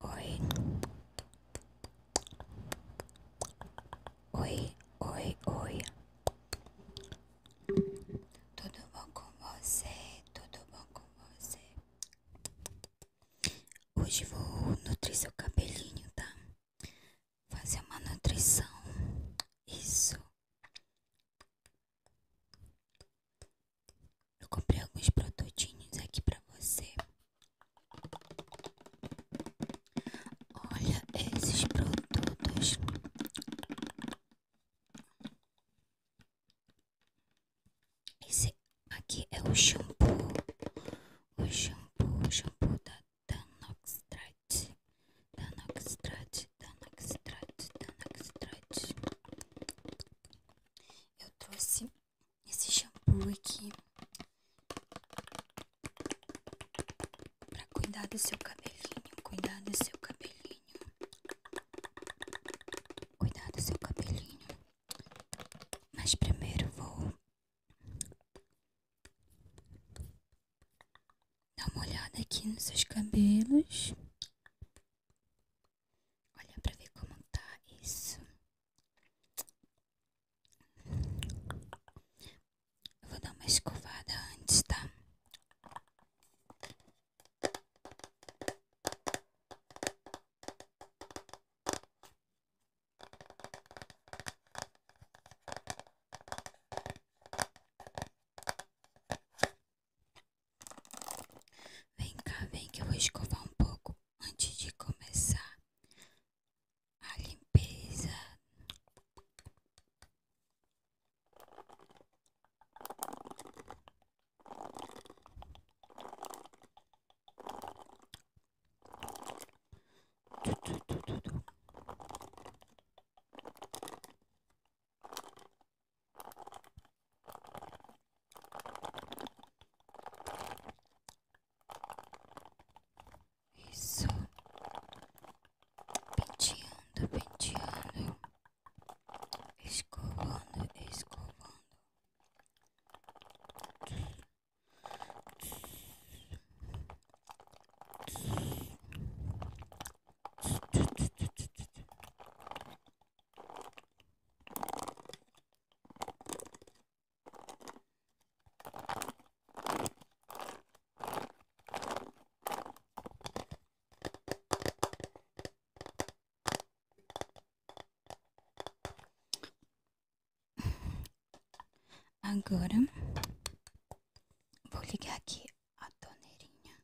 Oi. Oi, oi, oi. Tudo bom com você? Tudo bom com você? Hoje vou nutrir seu cabelinho, tá? Fazer uma nutrição. Isso. Eu comprei alguns produtinhos aqui pra você. Olha esses produtos. Esse aqui é o shampoo. O shampoo, shampoo da Danoxtrat. Danoxtrat, Danoxtrat, Danoxtrat. Eu trouxe esse shampoo aqui para cuidar do seu cabelinho, cuidar do seu cabelinho, cuidar do seu cabelinho. Mas primeiro vou dar uma olhada aqui nos seus cabelos. Olha para ver como tá isso. Eu vou dar uma escovada antes, tá? Vem cá, vem que eu vou escovar um pouco antes de começar a limpeza. Du, du, du, du, du. Isso. Penteando, penteando. Escovando, escovando. Agora vou ligar aqui a torneirinha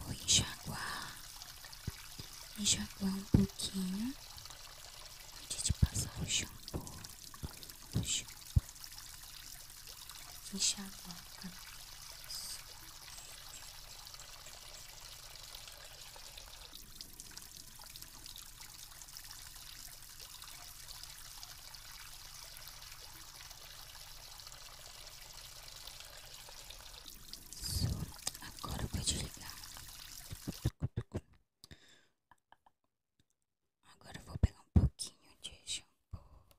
Vou enxaguar. Enxaguar um pouquinho. Antes de passar o shampoo. O shampoo. Enxaguar. Só agora vou desligar. Agora vou pegar um pouquinho de shampoo.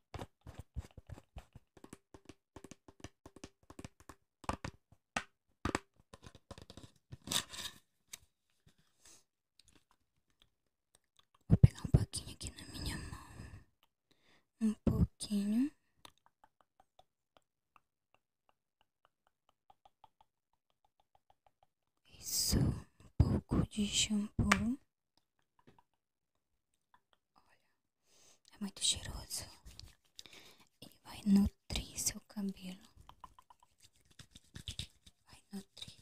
Vou pegar um pouquinho aqui na minha mão. Um pouquinho. Isso, um pouco de shampoo. Olha, é muito cheiroso e vai nutrir seu cabelo. Vai nutrir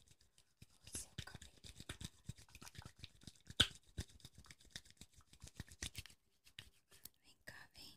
seu cabelo. Vem cá, vem.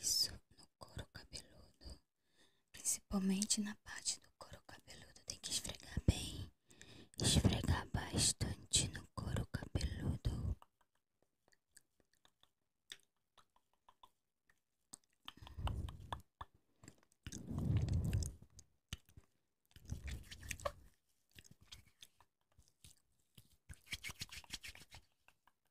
Isso no couro cabeludo, principalmente na parte do couro cabeludo, tem que esfregar bem, esfregar bastante no couro cabeludo.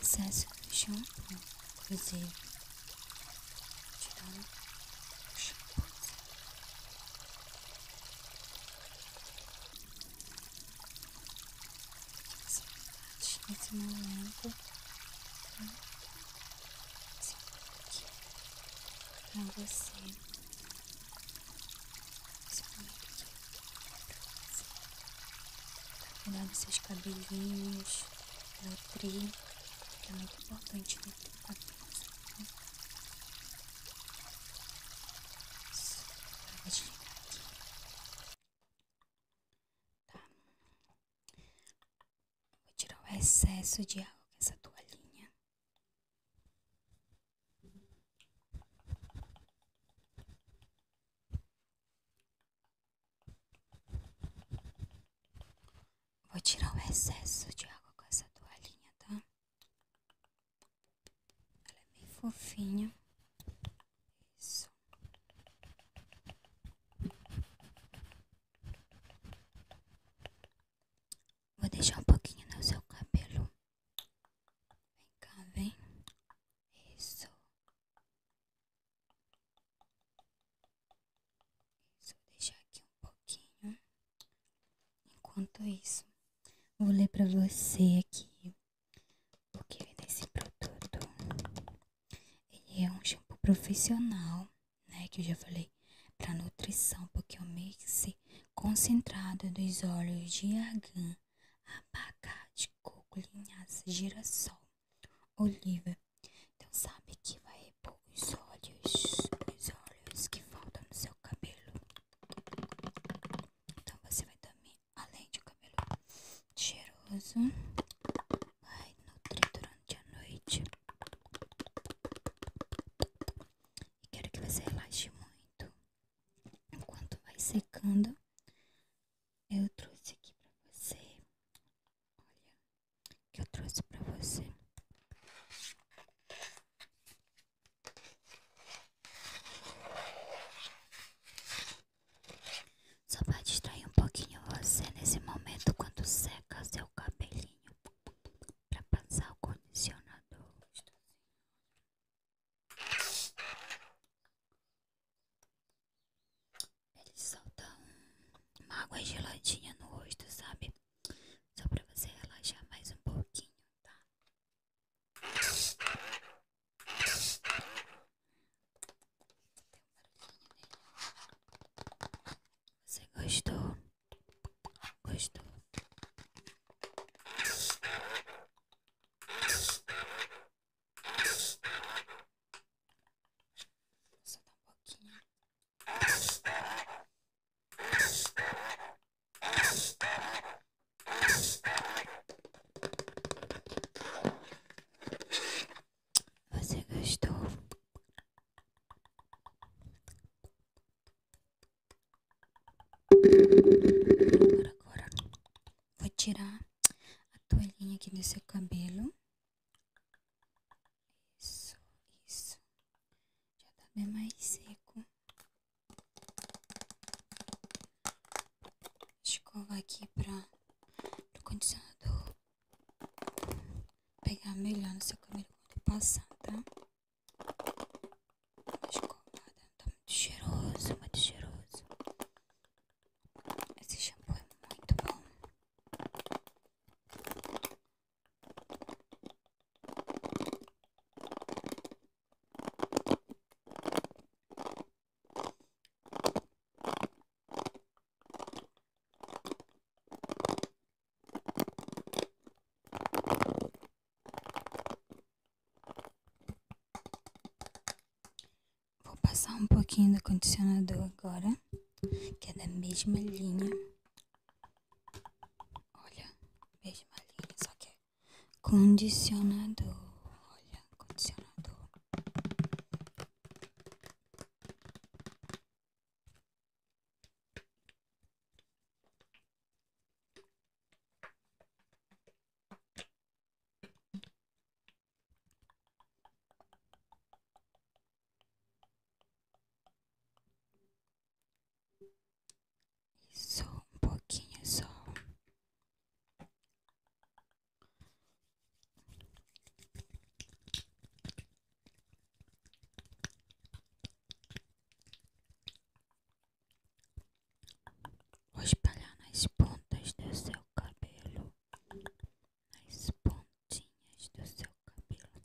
excesso de shampoo, inclusive. Tirando o shampoo. Saudade nesse momento. Tá? Saudade com você. Saudade pra cuidar dos seus cabelinhos, nutrir, que é muito importante nutrir o cabelo. Né? Saudade. Tá. Vou tirar o excesso de água com essa toalhinha. Vou tirar o excesso de água com essa toalhinha, tá? Ela é bem fofinha. Isso. Vou deixar um pouquinho no seu cabelo. Vem cá, vem. Isso. Isso, vou deixar aqui um pouquinho. Enquanto isso, vou ler pra você aqui porque nesse é produto é um shampoo profissional, né? Que eu já falei para nutrição, porque é um mix concentrado dos óleos de argan, abacate, coco, linhaça, girassol, oliva. Então sabe que vai repor os olhos os olhos que faltam no seu cabelo. Então você vai também além de um cabelo cheiroso, vai nutrir durante a noite. E quero que você relaxe muito. Enquanto vai secando, eu trouxe aqui pra você. Olha, que eu trouxe pra você. Só vai distrair um pouquinho você nesse momento quando seca seu cabelinho para passar o condicionador. Ele solta uma água geladinha no rosto, sabe? Só pra você relaxar mais um pouquinho, tá? Você gostou? Gostou? Só dá um pouquinho. Você gostou? Agora, vou tirar a toalhinha aqui do seu cabelo. isso. Já tá bem mais seco escova aqui pra do condicionador pegar melhor no seu cabelo quando passar, tá? Uma escovada, tá? tá muito cheiroso, muito cheiroso. Esse shampoo é muito bom. Vou passar um pouquinho do condicionador agora, que é da mesma linha. Olha, mesma linha, só que é Condicionador. Olha, condicionador. Só um pouquinho só Vou espalhar nas pontas do seu cabelo, nas pontinhas do seu cabelo.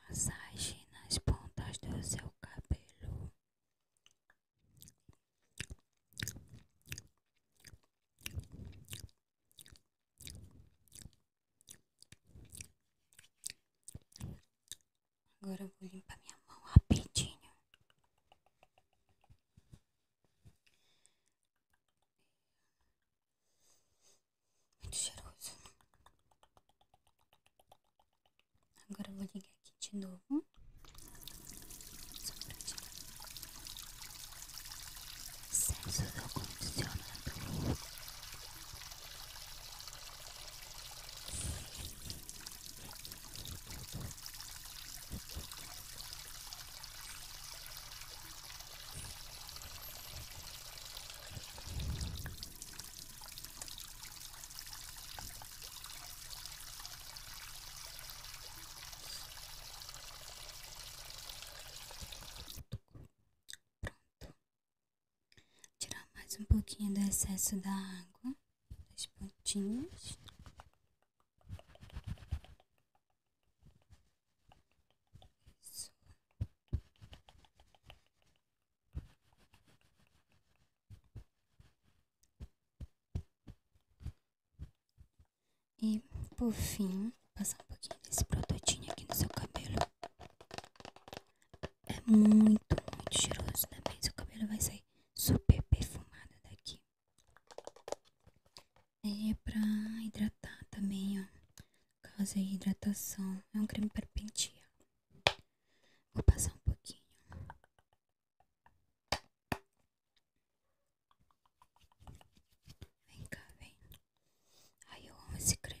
massagem nas pontas do seu cabelo. Agora vou limpar minha mão rapidinho. Muito cheiroso. Agora vou ligar aqui de novo. Só pra tirar o do condicionador. Pronto. Tirar mais um pouquinho do excesso da água as pontinhas. Isso. E por fim, passar um pouquinho desse prototinho aqui no seu cabelo. É muito, muito cheiroso, né? Bem, seu cabelo vai sair super perfumado daqui. É pra hidratar também, ó. Causa hidratação. É um creme para Vou passar um pouquinho. Vem cá, vem. Ai, eu amo esse creme.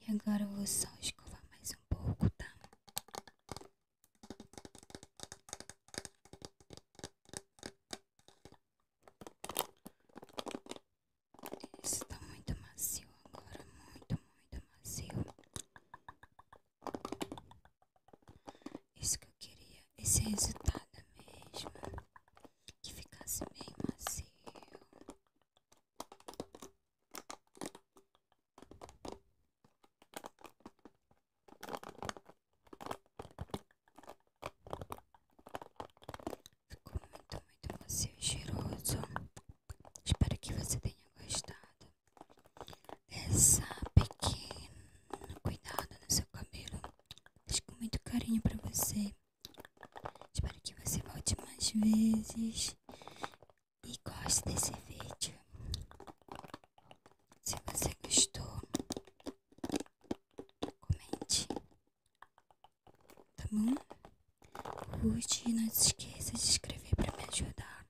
E agora eu vou só escovar mais um pouco, tá? Isso tá muito macio agora, muito, muito macio. Isso que eu queria, esse resultado mesmo. Que ficasse meio macio. Ficou muito, muito macio cheiroso. Espero que você tenha gostado dessa pequena cuidado no seu cabelo. Fiz com muito carinho pra você. Espero que você volte mais vezes e goste desse vídeo. Se você gostou, comente, tá bom? Curte e não se esqueça de se inscrever para me ajudar.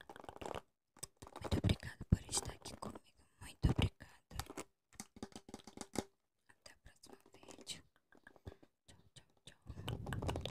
Muito obrigada por estar aqui comigo. Muito obrigada. Até o próximo vídeo. Tchau, tchau, tchau.